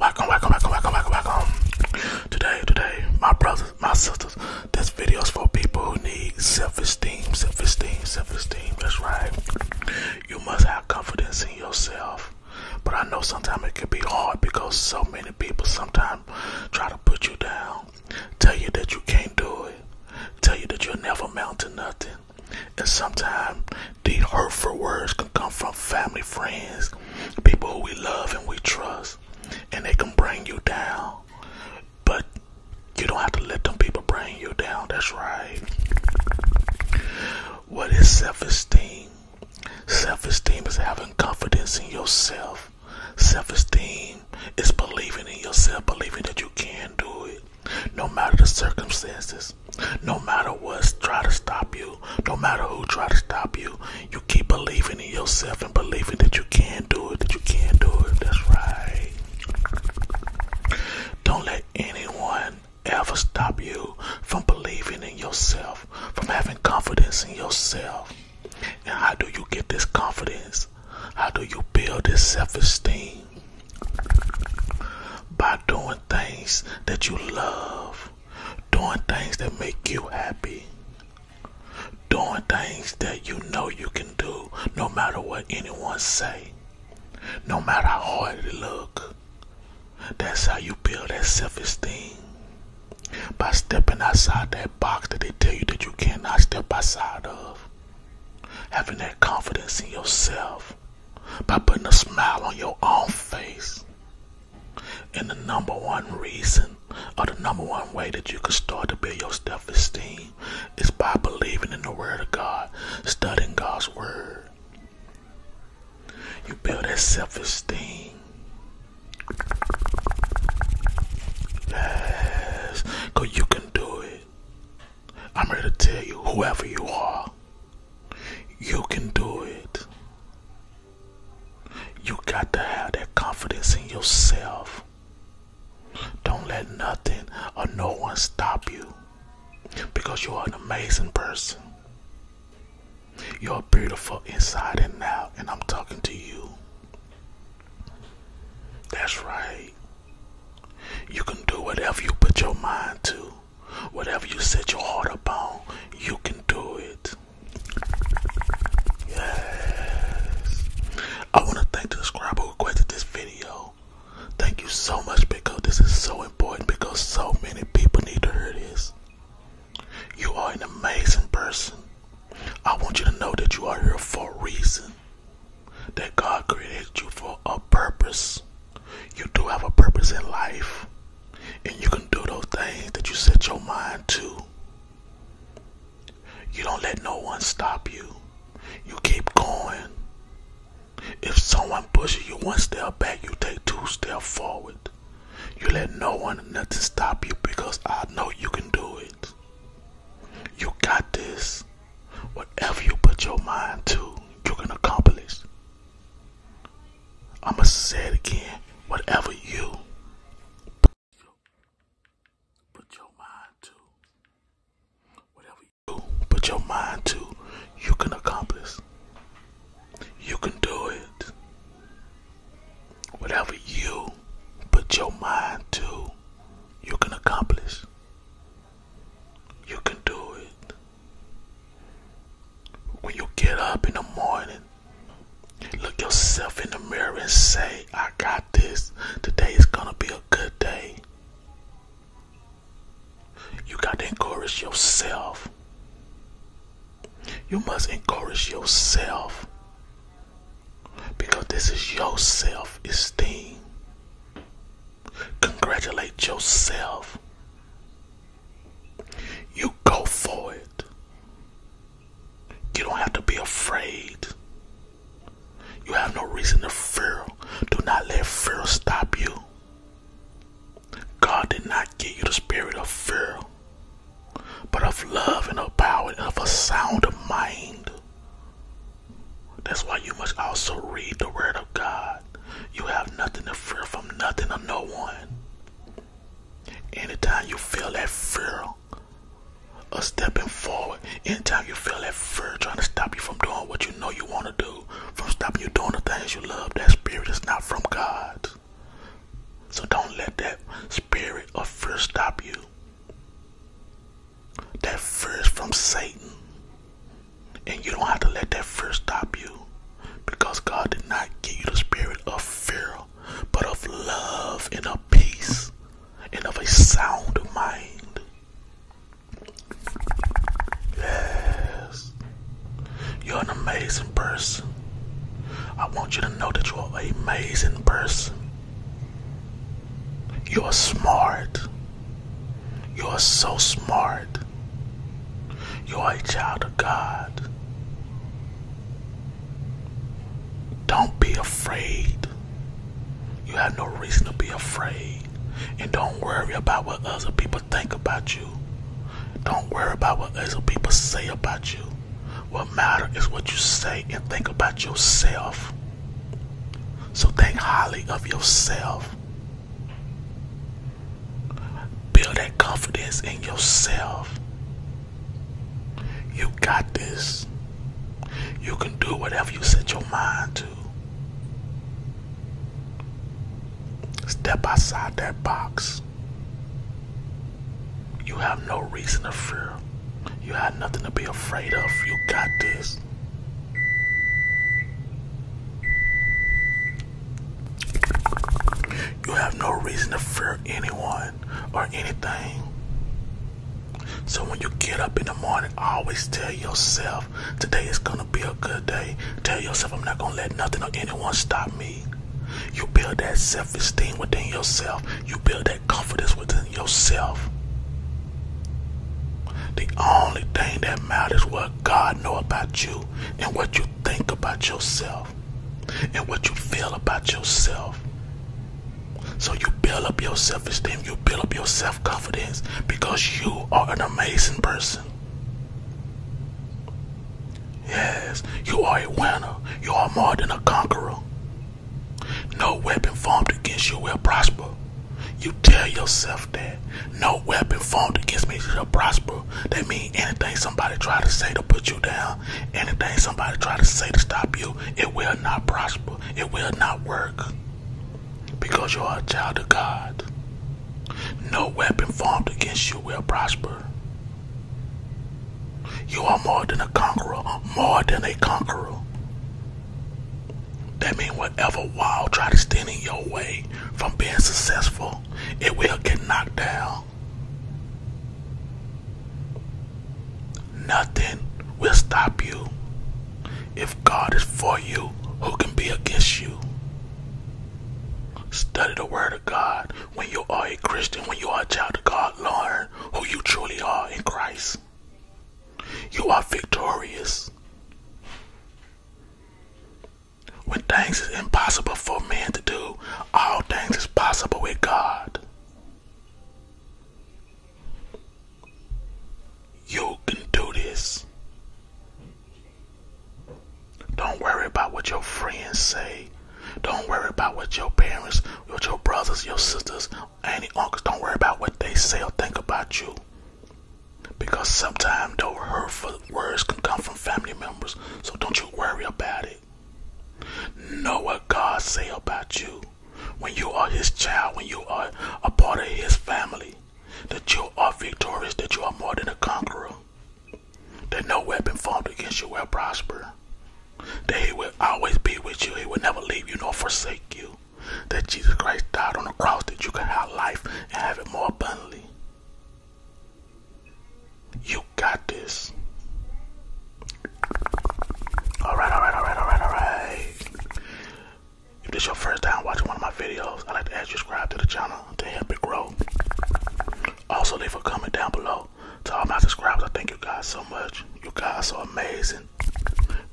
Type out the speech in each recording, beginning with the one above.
Welcome, welcome, welcome, welcome, welcome, welcome. Today, today, my brothers, my sisters, this video is for people who need self-esteem, self-esteem, self-esteem. That's right. You must have confidence in yourself. But I know sometimes it can be hard because so many people sometimes try to put you down, tell you that you can't do it, tell you that you'll never amount to nothing. And sometimes these hurtful words can come from family, friends, people who we love and we trust, and they can bring you down. But you don't have to let them people bring you down. That's right. What is self esteem? Self esteem is having confidence in yourself. Self esteem is believing in yourself, believing that you can do it. No matter the circumstances, no matter what's try to stop you, no matter who try to stop you, you keep believing in yourself and believing that you can do it, that you can do it. That's right. Don't let anyone ever stop you from believing in yourself, from having confidence in yourself. And how do you get this confidence? How do you build this self-esteem? By doing things that you love, doing things that make you happy, doing things that you know you can do no matter what anyone say, no matter how hard it look. That's how you build that self-esteem. By stepping outside that box that they tell you that you cannot step outside of having that confidence in yourself by putting a smile on your own face. And the number one reason, or the number one way that you can start to build your self esteem is by believing in the Word of God, studying God's Word. You build that self esteem. Yes, you can do it. I'm here to tell you, whoever you are, you can do it. You got to have that confidence in yourself. Don't let nothing or no one stop you because you are an amazing person. You're beautiful inside and out, and I'm talking to you. That's right. You can do whatever you put your mind to, whatever you set your heart upon, you can do it. Yes. I want to thank the subscriber who requested this video. Thank you so much because this is so important because so many people need to hear this. You are an amazing person. I want you to know that you are here for a reason. That God created you for a purpose. You do have a purpose in life. And you can do those things that you set your mind to. You don't let no one stop you. You keep going. If someone pushes you one step back, you take two steps forward. You let no one, nothing stop you because I know you can do it. You got this. Whatever you put your mind to, you can accomplish. I'ma say it again. Whatever you put your mind to, whatever you put your mind to, you can accomplish. You can do it. Whatever you put your mind to, you can accomplish. You can do it. When you get up in the morning, look yourself in the mirror and say, I got this. Today is going to be a good day. You got to encourage yourself. You must encourage yourself because this is your self esteem. Congratulate yourself. You go for it. You don't have to be afraid. You have no reason to fear. Do not let fear stop you. God did not give you the spirit of fear, but of love and of power and of a sound of mind. That's why you must also read the Word of God. You have nothing to fear from nothing or no one. Anytime you feel that fear of stepping forward, anytime you feel that fear trying to stop you from doing what you know you want to do, from stopping you doing the things you love, that spirit is not from God. So don't let that spirit of fear stop you. That fear from Satan. And you don't have to let that fear stop you. Because God did not give you the spirit of fear, but of love and of peace and of a sound mind. Yes. You're an amazing person. I want you to know that you're an amazing person. You're smart. You're so smart. You're a child of God. Don't be afraid. You have no reason to be afraid. And don't worry about what other people think about you. Don't worry about what other people say about you. What matters is what you say and think about yourself. So think highly of yourself. Build that confidence in yourself. You got this. You can do whatever you set your mind to. Step outside that box. You have no reason to fear. You have nothing to be afraid of. You got this. You have no reason to fear anyone or anything. So when you get up in the morning, always tell yourself, today is gonna be a good day. Tell yourself, I'm not gonna let nothing or anyone stop me. You build that self esteem within yourself, you build that confidence within yourself. The only thing that matters what God know about you and what you think about yourself and what you feel about yourself. So you build up your self-esteem, you build up your self-confidence because you are an amazing person. Yes, you are a winner. You are more than a conqueror. No weapon formed against you will prosper. You tell yourself that no weapon formed against me shall prosper. That means anything somebody try to say to put you down, anything somebody try to say to stop you, it will not prosper. It will not work because you are a child of God. No weapon formed against you will prosper. You are more than a conqueror, more than a conqueror. That means whatever wall try to stand in your way from being successful, it will get knocked down. Nothing will stop you. If God is for you, who can be against you? Study the Word of God. When you are a Christian, when you are a child of God, learn who you truly are in Christ. You are victorious. When things is impossible for man to do, all things is possible with God. You can do this. Don't worry about what your friends say. Don't worry about what your parents, what your brothers, your sisters, any uncles, don't worry about what they say or think about you. Because sometimes those hurtful words can come from family members. So don't you worry about it. Know what God say about you when you are his child, when you are a part of his family, that you are victorious, that you are more than a conqueror, that no weapon formed against you will prosper, that he will always be with you, he will never leave you nor forsake you, that Jesus Christ died on the cross that you can have life and have it more abundantly. You got this. All right, all right, all right, all right, all right. If this is your first time watching one of my videos, I'd like to ask you to subscribe to the channel to help it grow. Also, leave a comment down below to all my subscribers. I thank you guys so much. You guys are amazing.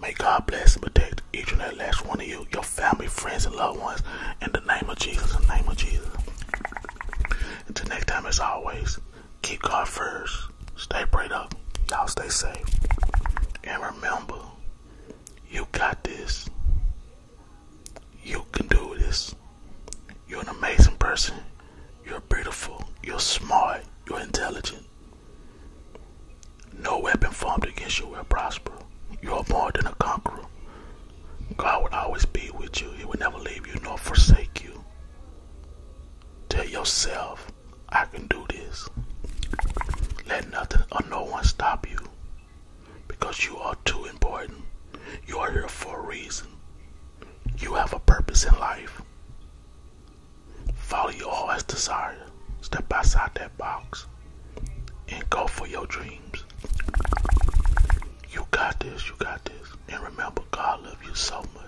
May God bless and protect each and every last one of you, your family, friends, and loved ones. In the name of Jesus, in the name of Jesus. Until next time, as always, keep God first. Stay prayed up. Y'all stay safe. And remember, you got this. You can do this. You're an amazing person. You're beautiful. You're smart. You're intelligent. No weapon formed against you will prosper. You are more than a conqueror. God will always be with you. He will never leave you nor forsake you. Tell yourself I can do this. Let nothing or no one stop you because you are too important. You are here for a reason. You have a purpose in life. Follow your heart's desire. Step outside that box and go for your dreams. You got this, you got this. And remember, God loves you so much.